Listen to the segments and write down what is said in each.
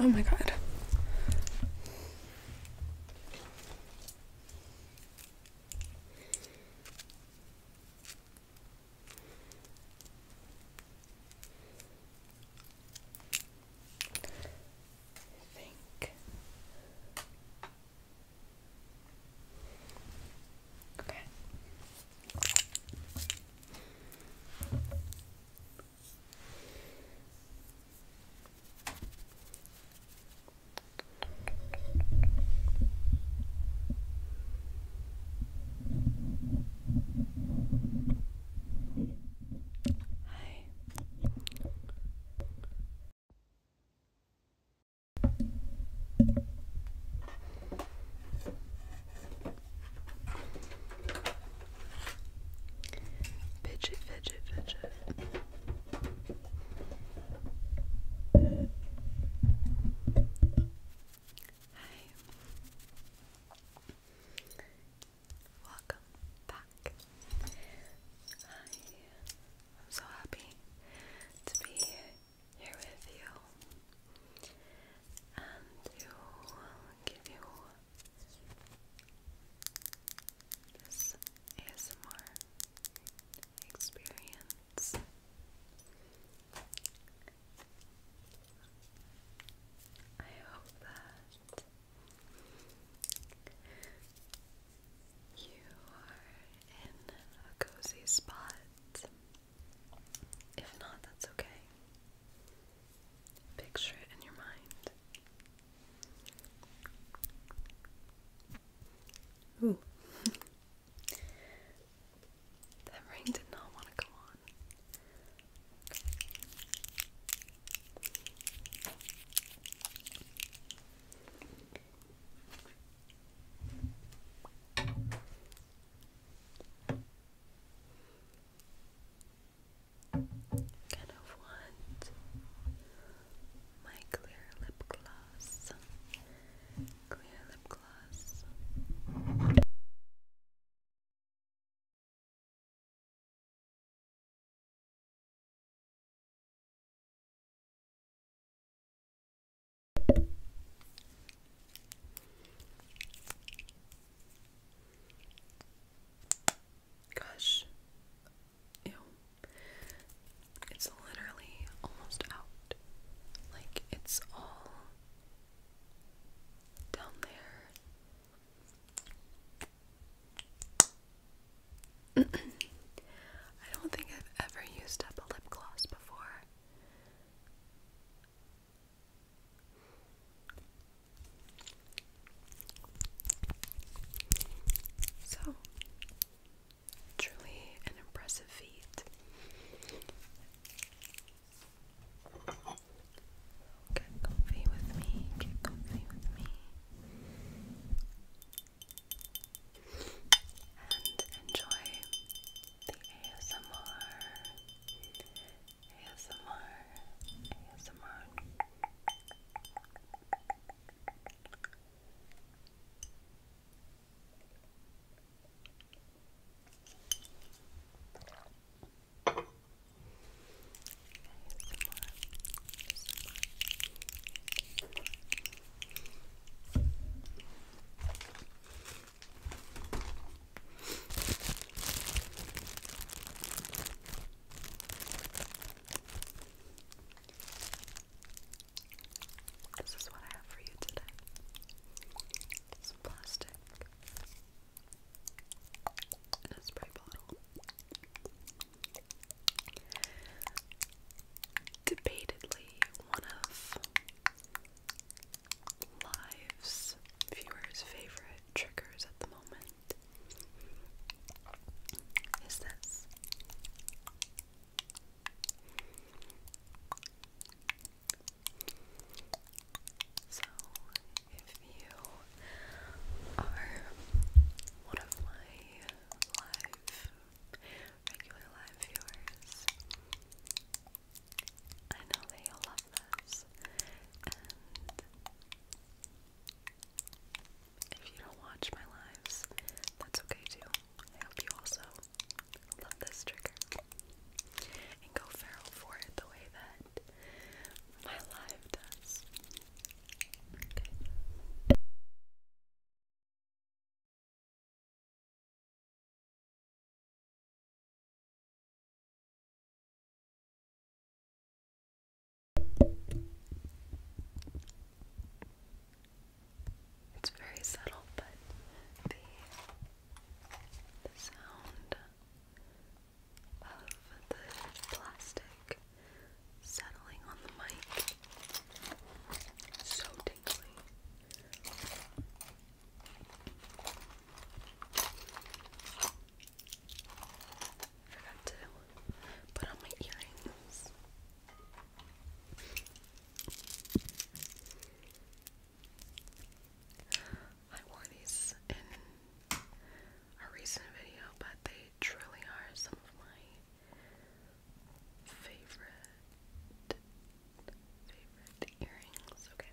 Oh my god. I think Okay. Hi. Fidget, fidget, fidget. Hi. Welcome back. I I'm so happy to be here with you and to give you this ASMR experience. I hope that you are in a cozy spot. If not, that's okay. Picture it in your mind. Ooh. that ring did not want to go on. Kind of want my clear lip gloss. Clear lip gloss. Gosh, ew. It's literally almost out. Like, it's all down there. I don't think I've ever used up a lip gloss before. So, truly an impressive feat. Get with me, get with me and enjoy the ASMR. ASMR. ASMR. This is what I have for you today. Some plastic and a spray bottle debatedly one of Live's viewers' favorite triggers at the moment is this. So, if you are one of my live, regular live viewers. I know that you'll love this, and if you don't watch my lives, that's okay too. I hope you also love this trigger and go feral for it the way that my live does. Okay. It's very subtle, but the, the sound of the plastic settling on the mic. So tingly. Forgot to put on my earrings. I wore these in a recent video, but they truly are some of my Favorite favorite earrings, okay.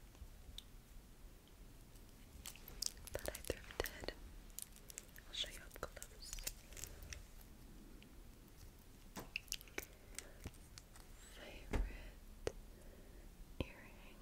That I thrifted. I'll show you up close. Favorite earrings.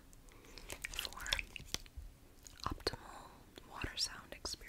for optimal water sound experience.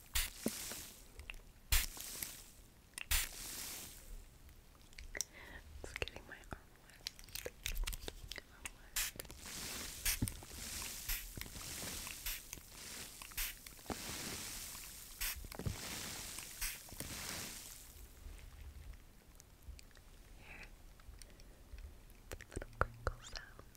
It's getting my arm wet. Here. little crinkle sounds.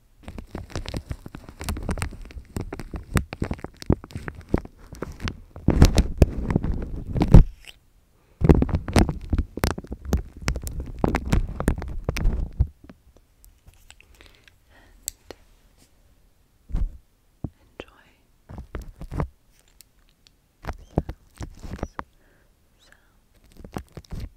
And enjoy sounds, sounds, sounds.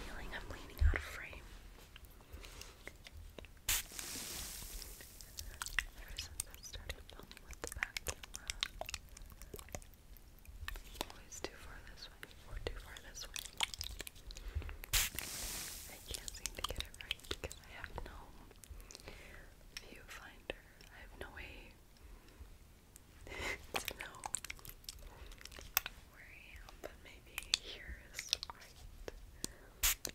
Feeling I'm leaning out of frame. Ever since I started filming with the camera, always too far this way or too far this way. I can't seem to get it right because I have no viewfinder. I have no way to know where I am, but maybe here is right.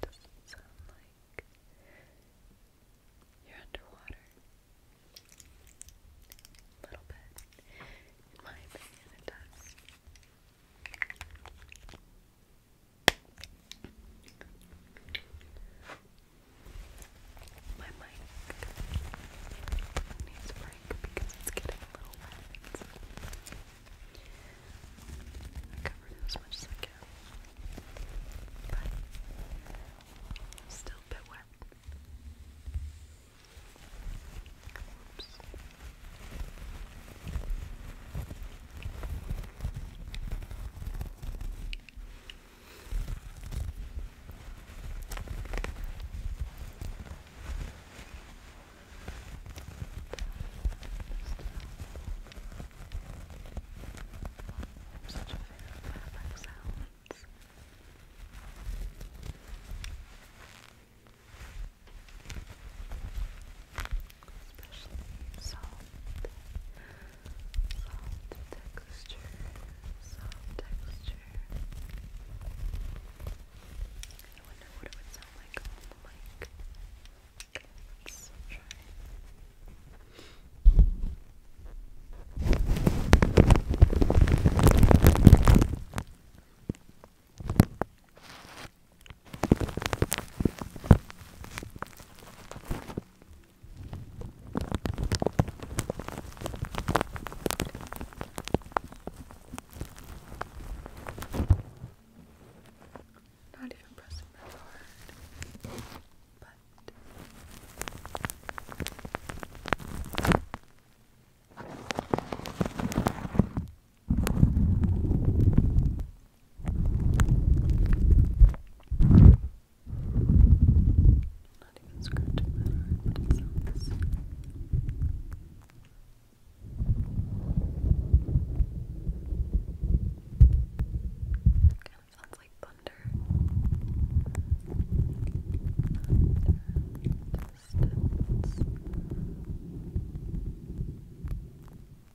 Doesn't sound like you're underwater. A little bit. In my opinion, it does. My mic needs a break because it's getting a little wet. I covered as much as I can, but still a bit wet. Oops. I'm such a fan of fabric sounds. Especially soft, soft texture, soft texture. I wonder what it would sound like on the mic. Okay, not even pressing that hard, but. Just not even scratching that hard, but it sounds. Kind of sounds like thunder. thunder distance.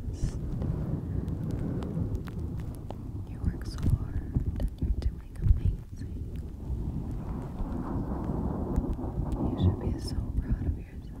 because you work so hard and you're doing amazing. You should be so proud of yourself.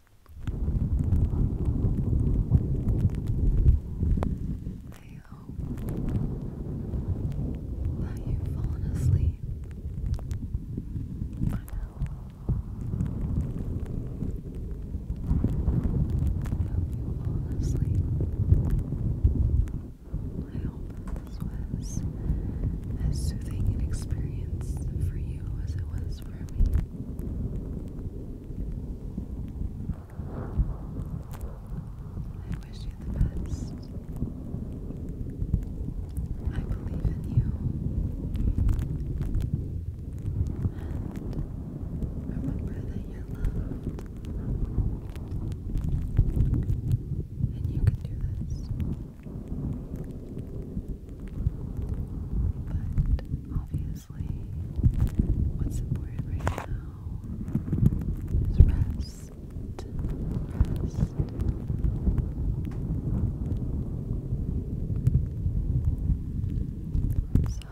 I hope that you've fallen asleep I hope this was as soothing an experience for you as it was I wish you the best. I believe in you. And remember that you're loved. And you can do this. But obviously, what's important right now is rest. So,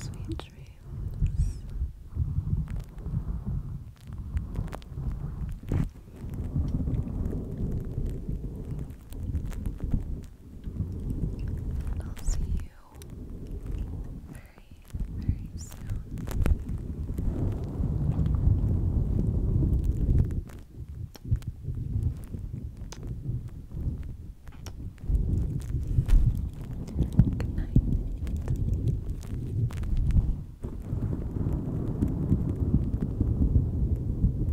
sweet dreams. I'll see you very, very soon. Good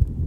night.